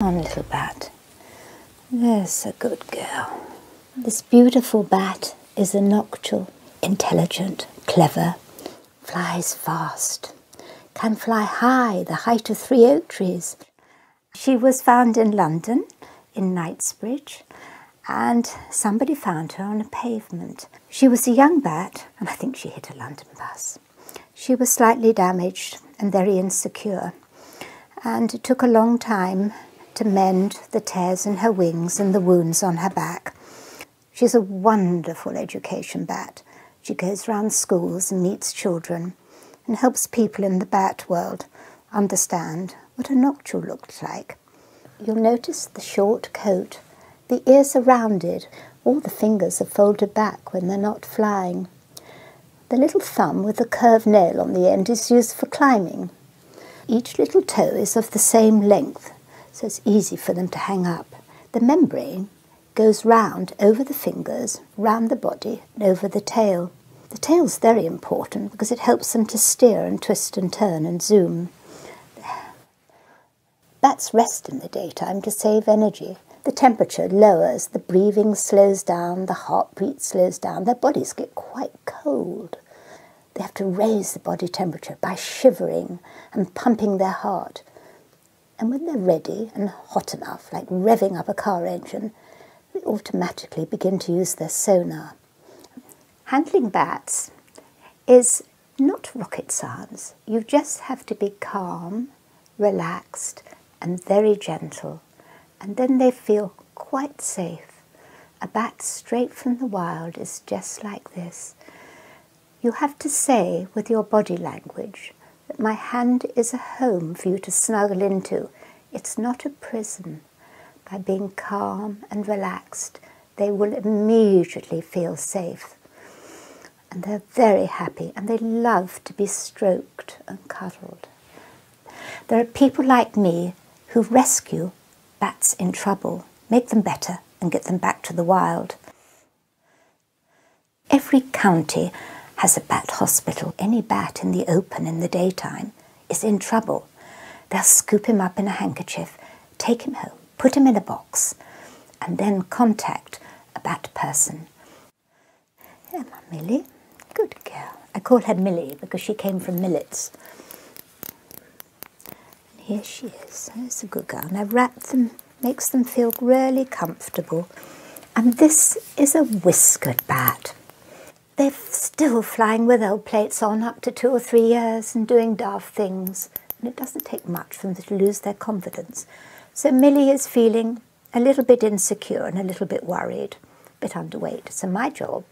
Come, little bat. There's a good girl. This beautiful bat is a noctule, intelligent, clever, flies fast, can fly high, the height of three oak trees. She was found in London, in Knightsbridge, and somebody found her on a pavement. She was a young bat, and I think she hit a London bus. She was slightly damaged and very insecure, and it took a long time to mend the tears in her wings and the wounds on her back. She's a wonderful education bat. She goes round schools and meets children and helps people in the bat world understand what a noctule looked like. You'll notice the short coat. The ears are rounded. All the fingers are folded back when they're not flying. The little thumb with the curved nail on the end is used for climbing. Each little toe is of the same length, so it's easy for them to hang up. The membrane goes round over the fingers, round the body, and over the tail. The tail's very important because it helps them to steer and twist and turn and zoom. Bats rest in the daytime to save energy the temperature lowers, the breathing slows down, the heart heartbeat slows down, their bodies get quite cold. They have to raise the body temperature by shivering and pumping their heart. And when they're ready and hot enough, like revving up a car engine, they automatically begin to use their sonar. Handling bats is not rocket science. You just have to be calm relaxed and very gentle, and then they feel quite safe. A bat straight from the wild is just like this. You have to say with your body language that my hand is a home for you to snuggle into. It's not a prison. By being calm and relaxed, they will immediately feel safe and they're very happy and they love to be stroked and cuddled. There are people like me who rescue bats in trouble, make them better and get them back to the wild. Every county has a bat hospital. Any bat in the open in the daytime is in trouble. They'll scoop him up in a handkerchief, take him home, put him in a box, and then contact a bat person there, my Millie. Good girl. I call her Millie because she came from millets. And here she is. There's a good girl. And I wrap them, makes them feel really comfortable. And this is a whiskered bat. They're still flying with old plates on up to two or three years and doing daft things. And it doesn't take much for them to lose their confidence. So Millie is feeling a little bit insecure and a little bit worried, a bit underweight. So my job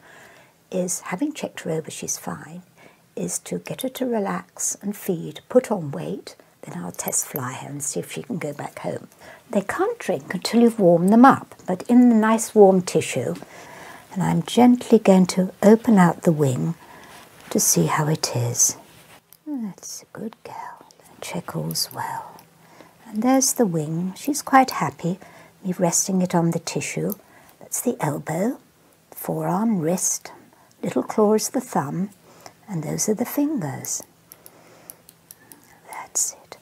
is, having checked her over, she's fine, is to get her to relax and feed, put on weight, then I'll test fly her and see if she can go back home. They can't drink until you've warmed them up, but in the nice warm tissue, and I'm gently going to open out the wing to see how it is. Oh, that's a good girl. Check all's well. And there's the wing. She's quite happy. Me resting it on the tissue. That's the elbow, forearm, wrist, little claws, the thumb, and those are the fingers. That's it.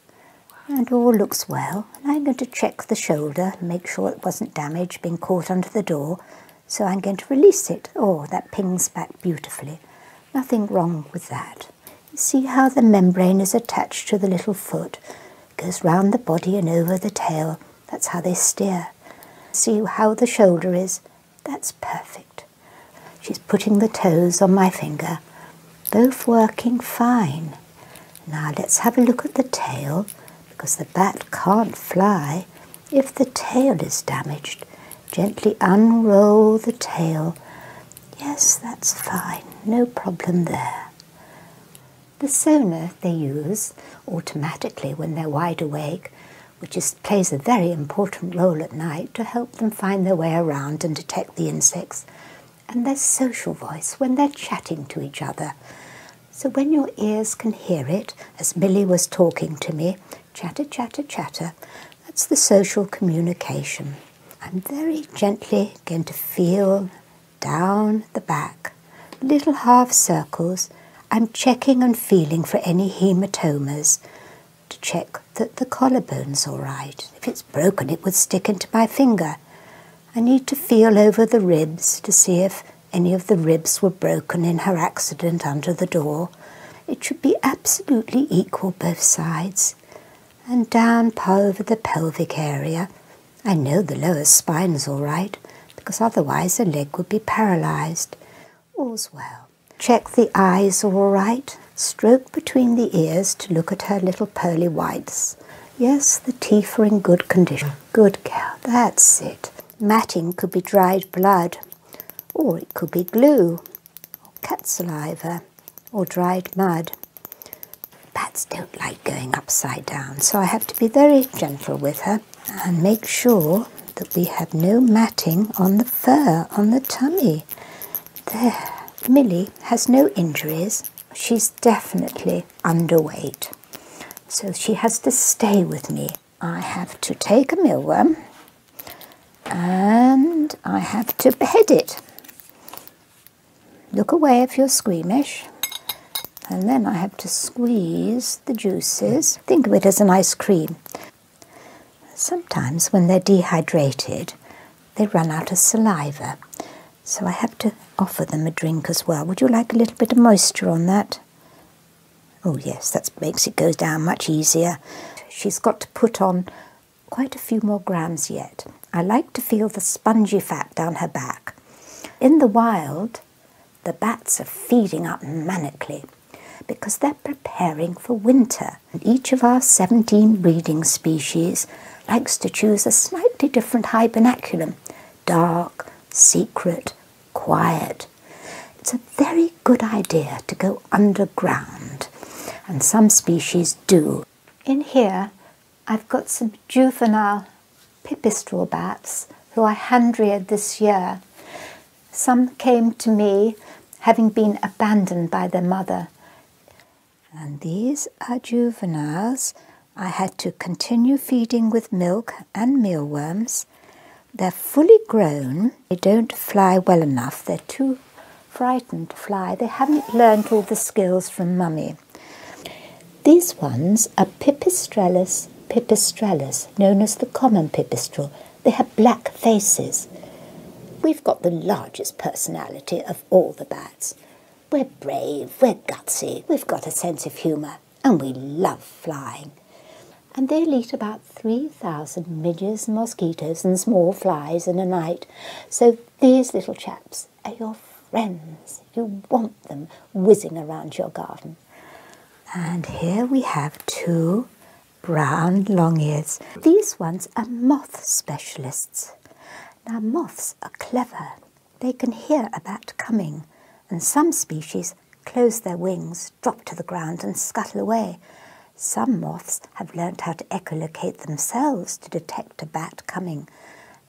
And all looks well. And I'm going to check the shoulder, make sure it wasn't damaged, being caught under the door. So I'm going to release it. Oh, that pings back beautifully. Nothing wrong with that. see how the membrane is attached to the little foot, it goes round the body and over the tail. That's how they steer. See how the shoulder is? That's perfect. She's putting the toes on my finger, both working fine. Now let's have a look at the tail, because the bat can't fly if the tail is damaged. Gently unroll the tail. Yes, that's fine, no problem there. The sonar they use automatically when they're wide awake, which is, plays a very important role at night to help them find their way around and detect the insects, and their social voice when they're chatting to each other. So when your ears can hear it, as Millie was talking to me, Chatter, chatter, chatter. That's the social communication. I'm very gently going to feel down the back, little half circles. I'm checking and feeling for any hematomas to check that the collarbone's all right. If it's broken, it would stick into my finger. I need to feel over the ribs to see if any of the ribs were broken in her accident under the door it should be absolutely equal both sides. And down over the pelvic area. I know the lower spine is all right, because otherwise the leg would be paralyzed. All's well. Check the eyes all right. Stroke between the ears to look at her little pearly whites. Yes, the teeth are in good condition. Good girl, that's it. Matting could be dried blood, or it could be glue cat saliva or dried mud. Bats don't like going upside down, so I have to be very gentle with her and make sure that we have no matting on the fur on the tummy. There, Millie has no injuries. She's definitely underweight. So she has to stay with me I have to take a mealworm and I have to behead it. Look away if you're squeamish. And then I have to squeeze the juices. Think of it as an ice cream. Sometimes when they're dehydrated, they run out of saliva. So I have to offer them a drink as well. Would you like a little bit of moisture on that? Oh yes, that makes it go down much easier. She's got to put on quite a few more grams yet. I like to feel the spongy fat down her back. In the wild, the bats are feeding up manically because they're preparing for winter. And each of our 17 breeding species likes to choose a slightly different hibernaculum dark, secret, quiet, it's a very good idea to go underground, and some species do. In here, I've got some juvenile pipistrel bats who I hand reared this year. Some came to me having been abandoned by their mother. And these are juveniles I had to continue feeding with milk and mealworms they're fully grown, they don't fly well enough, they're too frightened to fly, they haven't learnt all the skills from mummy. These ones are Pipistrellus pipistrellus, known as the common pipistrel. They have black faces. We've got the largest personality of all the bats. We're brave, we're gutsy, we've got a sense of humour, and we love flying and they'll eat about 3,000 midges, mosquitoes, and small flies in a night. So these little chaps are your friends. You want them whizzing around your garden. And here we have two brown long-ears. These ones are moth specialists. Now moths are clever. They can hear a bat coming and some species close their wings, drop to the ground, and scuttle away. Some moths have learned how to echolocate themselves to detect a bat coming,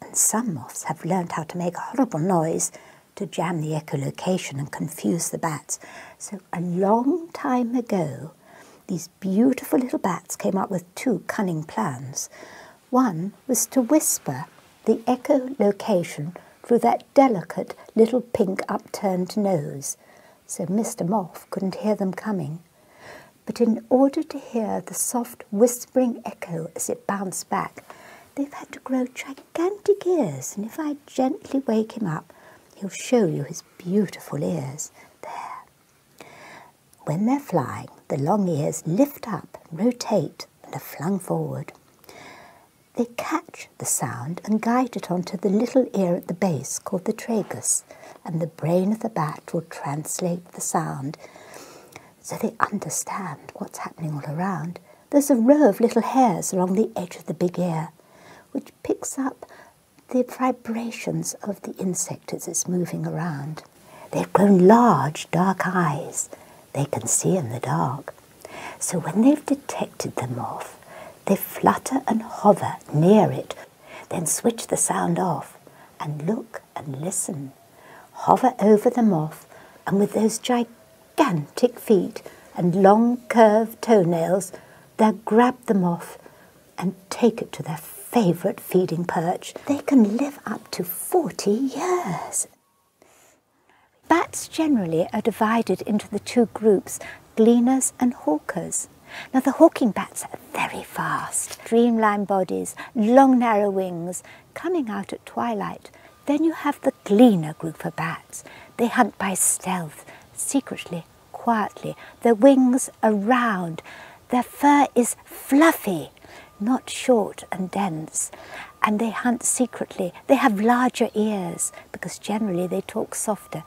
and some moths have learned how to make a horrible noise to jam the echolocation and confuse the bats. So, a long time ago, these beautiful little bats came up with two cunning plans. One was to whisper the echolocation through that delicate little pink upturned nose, so Mr. Moth couldn't hear them coming. But in order to hear the soft whispering echo as it bounced back, they've had to grow gigantic ears, and if I gently wake him up, he'll show you his beautiful ears. There. When they're flying, the long ears lift up, rotate, and are flung forward. They catch the sound and guide it onto the little ear at the base called the tragus, and the brain of the bat will translate the sound so they understand what's happening all around. There's a row of little hairs along the edge of the big ear, which picks up the vibrations of the insect as it's moving around. They've grown large, dark eyes. They can see in the dark. So when they've detected the moth, they flutter and hover near it, then switch the sound off and look and listen, hover over the moth, and with those gigantic feet and long curved toenails, they will grab the moth and take it to their favourite feeding perch. They can live up to 40 years. Bats generally are divided into the two groups, gleaners and hawkers. Now the hawking bats are very fast, streamlined bodies, long narrow wings, coming out at twilight. Then you have the gleaner group of bats. They hunt by stealth, secretly, quietly. Their wings are round. Their fur is fluffy, not short and dense. And they hunt secretly. They have larger ears because generally they talk softer.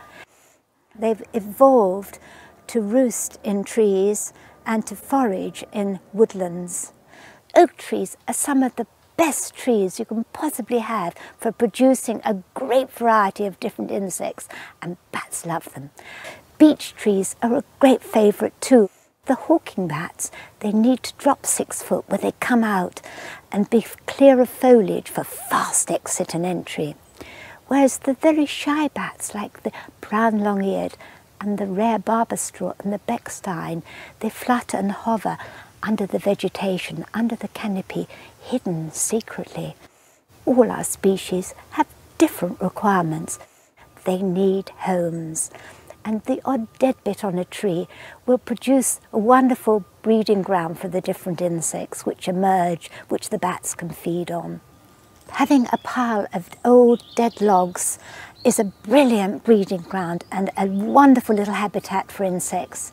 They've evolved to roost in trees and to forage in woodlands. Oak trees are some of the best trees you can possibly have for producing a great variety of different insects, and bats love them. Beech trees are a great favourite too. The hawking bats, they need to drop six foot where they come out and be clearer foliage for fast exit and entry, whereas the very shy bats like the brown long-eared and the rare barberstraw and the beckstein, they flutter and hover under the vegetation, under the canopy, hidden secretly. All our species have different requirements. They need homes and the odd bit on a tree will produce a wonderful breeding ground for the different insects which emerge, which the bats can feed on. Having a pile of old dead logs is a brilliant breeding ground and a wonderful little habitat for insects.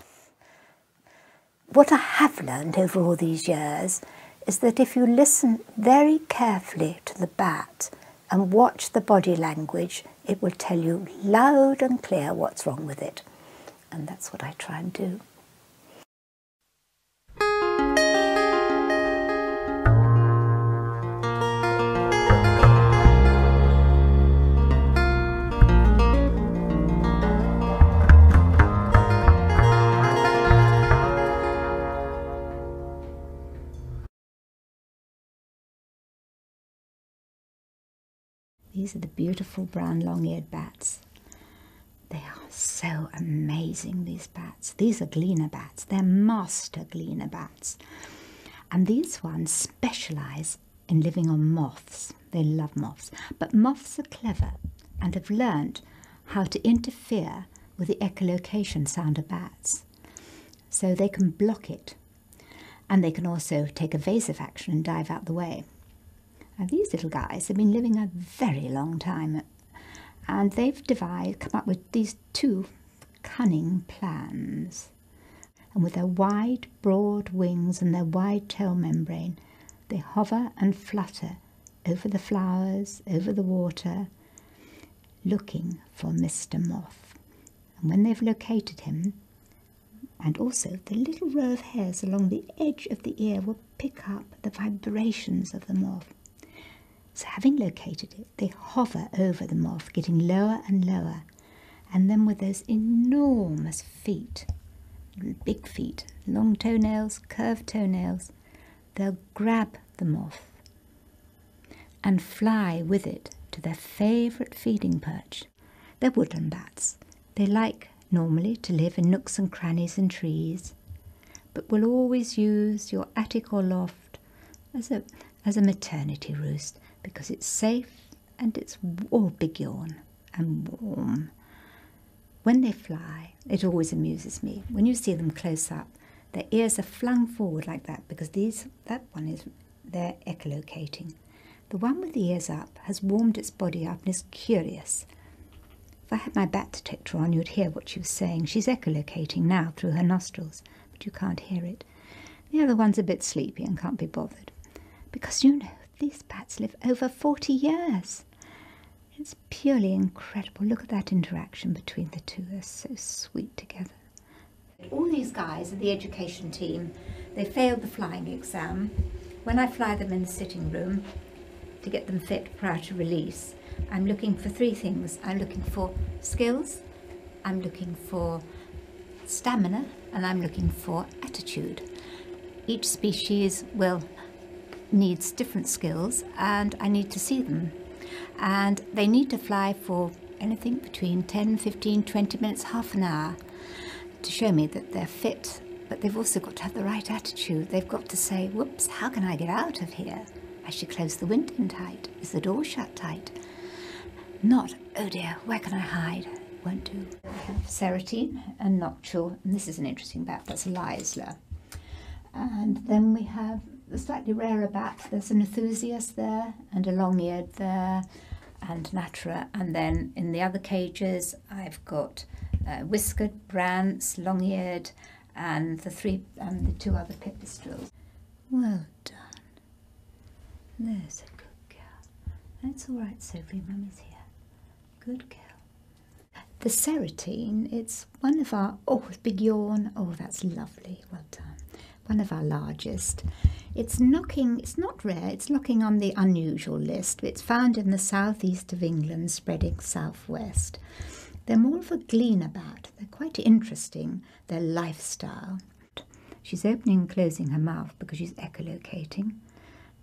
What I have learned over all these years is that if you listen very carefully to the bat and watch the body language, it will tell you loud and clear what's wrong with it. And that's what I try and do. These are the beautiful brown long-eared bats. They are so amazing, these bats. These are gleaner bats. They're master gleaner bats. And these ones specialize in living on moths. They love moths. But moths are clever and have learned how to interfere with the echolocation sound of bats. So they can block it and they can also take evasive action and dive out the way. these little guys have been living a very long time, and they've come up with these two cunning plans. And with their wide, broad wings and their wide tail membrane, they hover and flutter over the flowers, over the water, looking for Mr. Moth. And when they've located him, and also the little row of hairs along the edge of the ear will pick up the vibrations of the moth. So, having located it, they hover over the moth, getting lower and lower, and then with those enormous feet, big feet, long toenails, curved toenails, they'll grab the moth and fly with it to their favourite feeding perch they're woodland bats. They like normally to live in nooks and crannies and trees, but will always use your attic or loft as a as a maternity roost because it's safe and it's all big and warm. When they fly, it always amuses me. When you see them close up, their ears are flung forward like that because these that one is they're echolocating. The one with the ears up has warmed its body up and is curious. If I had my bat detector on, you'd hear what she was saying. She's echolocating now through her nostrils, but you can't hear it. The other one's a bit sleepy and can't be bothered. Because you know, these bats live over 40 years. It's purely incredible. Look at that interaction between the two. They're so sweet together. All these guys are the education team. They failed the flying exam. When I fly them in the sitting room to get them fit prior to release, I'm looking for three things. I'm looking for skills, I'm looking for stamina, and I'm looking for attitude. Each species will needs different skills and I need to see them. And they need to fly for anything between 10, 15, 20 minutes, half an hour to show me that they're fit, but they've also got to have the right attitude. They've got to say, whoops, how can I get out of here? I should close the window tight. Is the door shut tight? Not, oh dear, where can I hide? Won't do. We have Seratine and Noctule, and this is an interesting bat, that's a Leisler. And then we have the slightly rarer bat, there's an Enthusiast there and a long-eared there and natura. And then in the other cages, I've got uh, whiskered brants, long-eared, and the three and the two other pipistrels. Well done. There's a good girl. That's all right, Sophie. Mummy's here. Good girl. The serotine, it's one of our, oh, big yawn. Oh, that's lovely. Well done one of our largest. It's knocking, it's not rare, it's knocking on the unusual list. It's found in the southeast of England, spreading southwest. They're more of a gleaner bat. They're quite interesting, their lifestyle. She's opening and closing her mouth because she's echolocating.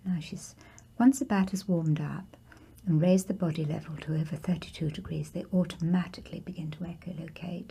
Now she's, once the bat has warmed up and raised the body level to over 32 degrees, they automatically begin to echolocate.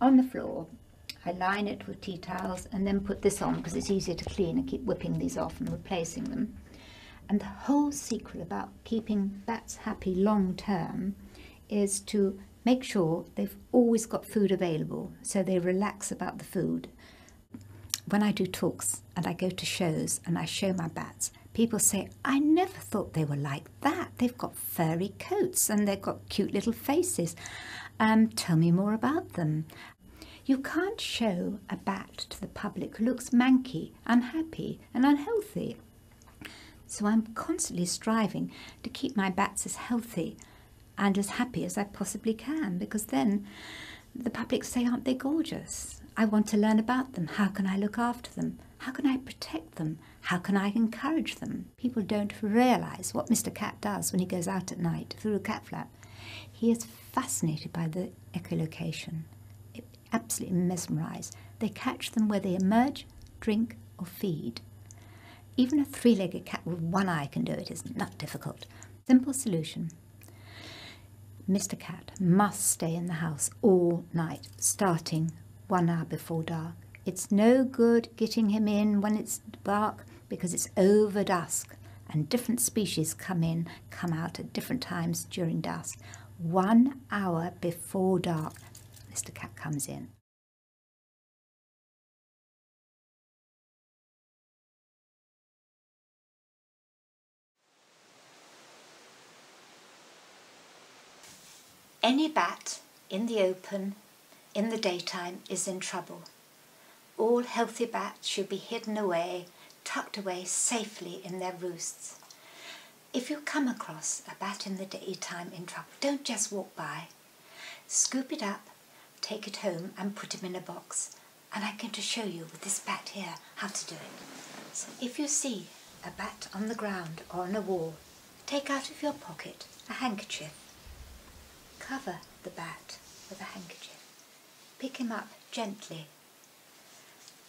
on the floor. I line it with tea towels and then put this on because it's easier to clean. And keep whipping these off and replacing them. And the whole secret about keeping bats happy long term is to make sure they've always got food available so they relax about the food. When I do talks and I go to shows and I show my bats, people say, I never thought they were like that. They've got furry coats and they've got cute little faces. Um, tell me more about them. You can't show a bat to the public who looks manky, unhappy, and unhealthy. So I'm constantly striving to keep my bats as healthy and as happy as I possibly can because then the public say, aren't they gorgeous? I want to learn about them. How can I look after them? How can I protect them? How can I encourage them? People don't realize what Mr. Cat does when he goes out at night through a cat flap. He is fascinated by the echolocation, it absolutely mesmerized. They catch them where they emerge, drink, or feed. Even a three legged cat with one eye can do it, it's not difficult. Simple solution. Mr. Cat must stay in the house all night, starting one hour before dark. It's no good getting him in when it's dark because it's over dusk and different species come in, come out at different times during dusk. One hour before dark, Mr. Cat comes in. Any bat in the open in the daytime is in trouble. All healthy bats should be hidden away, tucked away safely in their roosts. If you come across a bat in the daytime in trouble, don't just walk by. Scoop it up, take it home and put him in a box. And I'm going to show you with this bat here how to do it. So if you see a bat on the ground or on a wall, Take out of your pocket a handkerchief. Cover the bat with a handkerchief. Pick him up gently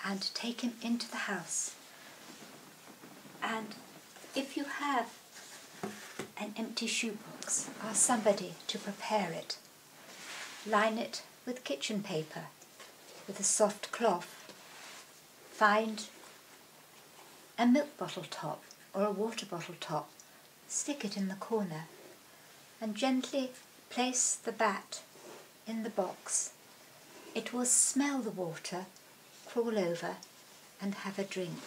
and take him into the house. And if you have an empty shoebox, ask somebody to prepare it. Line it with kitchen paper, with a soft cloth. Find a milk bottle top or a water bottle top, stick it in the corner and gently place the bat in the box. It will smell the water, crawl over and have a drink.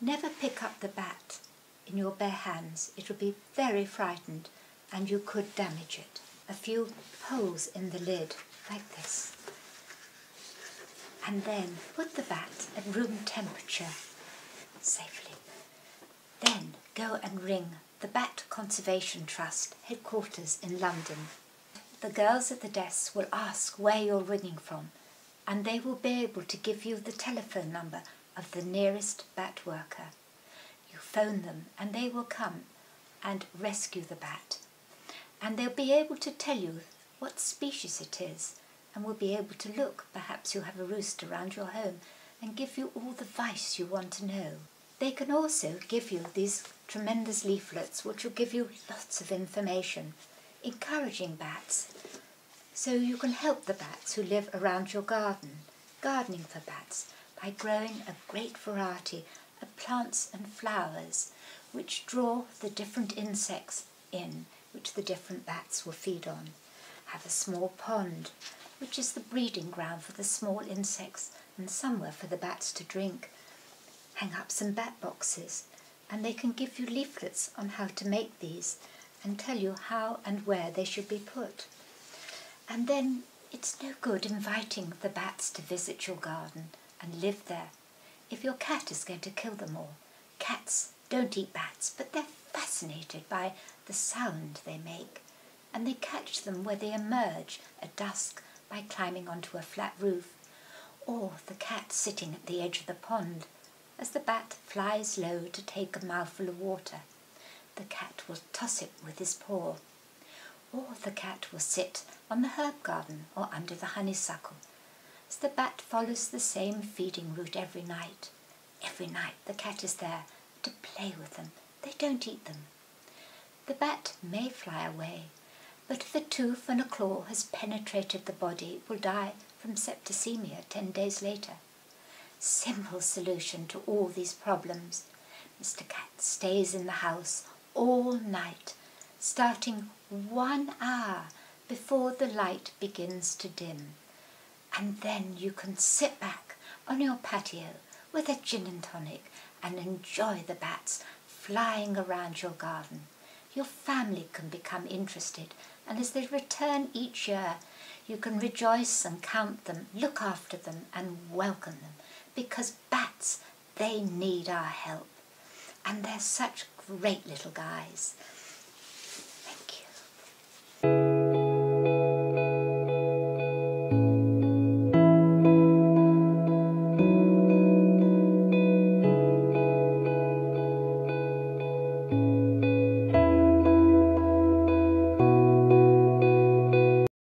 Never pick up the bat in your bare hands. It will be very frightened and you could damage it a few holes in the lid like this and then put the bat at room temperature safely. Then go and ring the Bat Conservation Trust headquarters in London. The girls at the desk will ask where you're ringing from and they will be able to give you the telephone number of the nearest bat worker. You phone them and they will come and rescue the bat and they'll be able to tell you what species it is and will be able to look, perhaps you have a roost around your home, and give you all the advice you want to know. They can also give you these tremendous leaflets which will give you lots of information, encouraging bats, so you can help the bats who live around your garden, gardening for bats, by growing a great variety of plants and flowers which draw the different insects in which the different bats will feed on. Have a small pond which is the breeding ground for the small insects and somewhere for the bats to drink. Hang up some bat boxes and they can give you leaflets on how to make these and tell you how and where they should be put. And then it's no good inviting the bats to visit your garden and live there if your cat is going to kill them all. Cats don't eat bats, but they're fascinated by the sound they make, and they catch them where they emerge at dusk by climbing onto a flat roof, or the cat sitting at the edge of the pond as the bat flies low to take a mouthful of water. The cat will toss it with his paw or the cat will sit on the herb garden or under the honeysuckle, as the bat follows the same feeding route every night. Every night the cat is there to play with them. They don't eat them. The bat may fly away, but if a tooth and a claw has penetrated the body, it will die from septicemia ten days later. Simple solution to all these problems. Mr. Cat stays in the house all night, starting one hour before the light begins to dim. And then you can sit back on your patio with a gin and tonic and enjoy the bats flying around your garden. Your family can become interested and as they return each year, you can rejoice and count them, look after them and welcome them because bats, they need our help. And they're such great little guys. Thank you.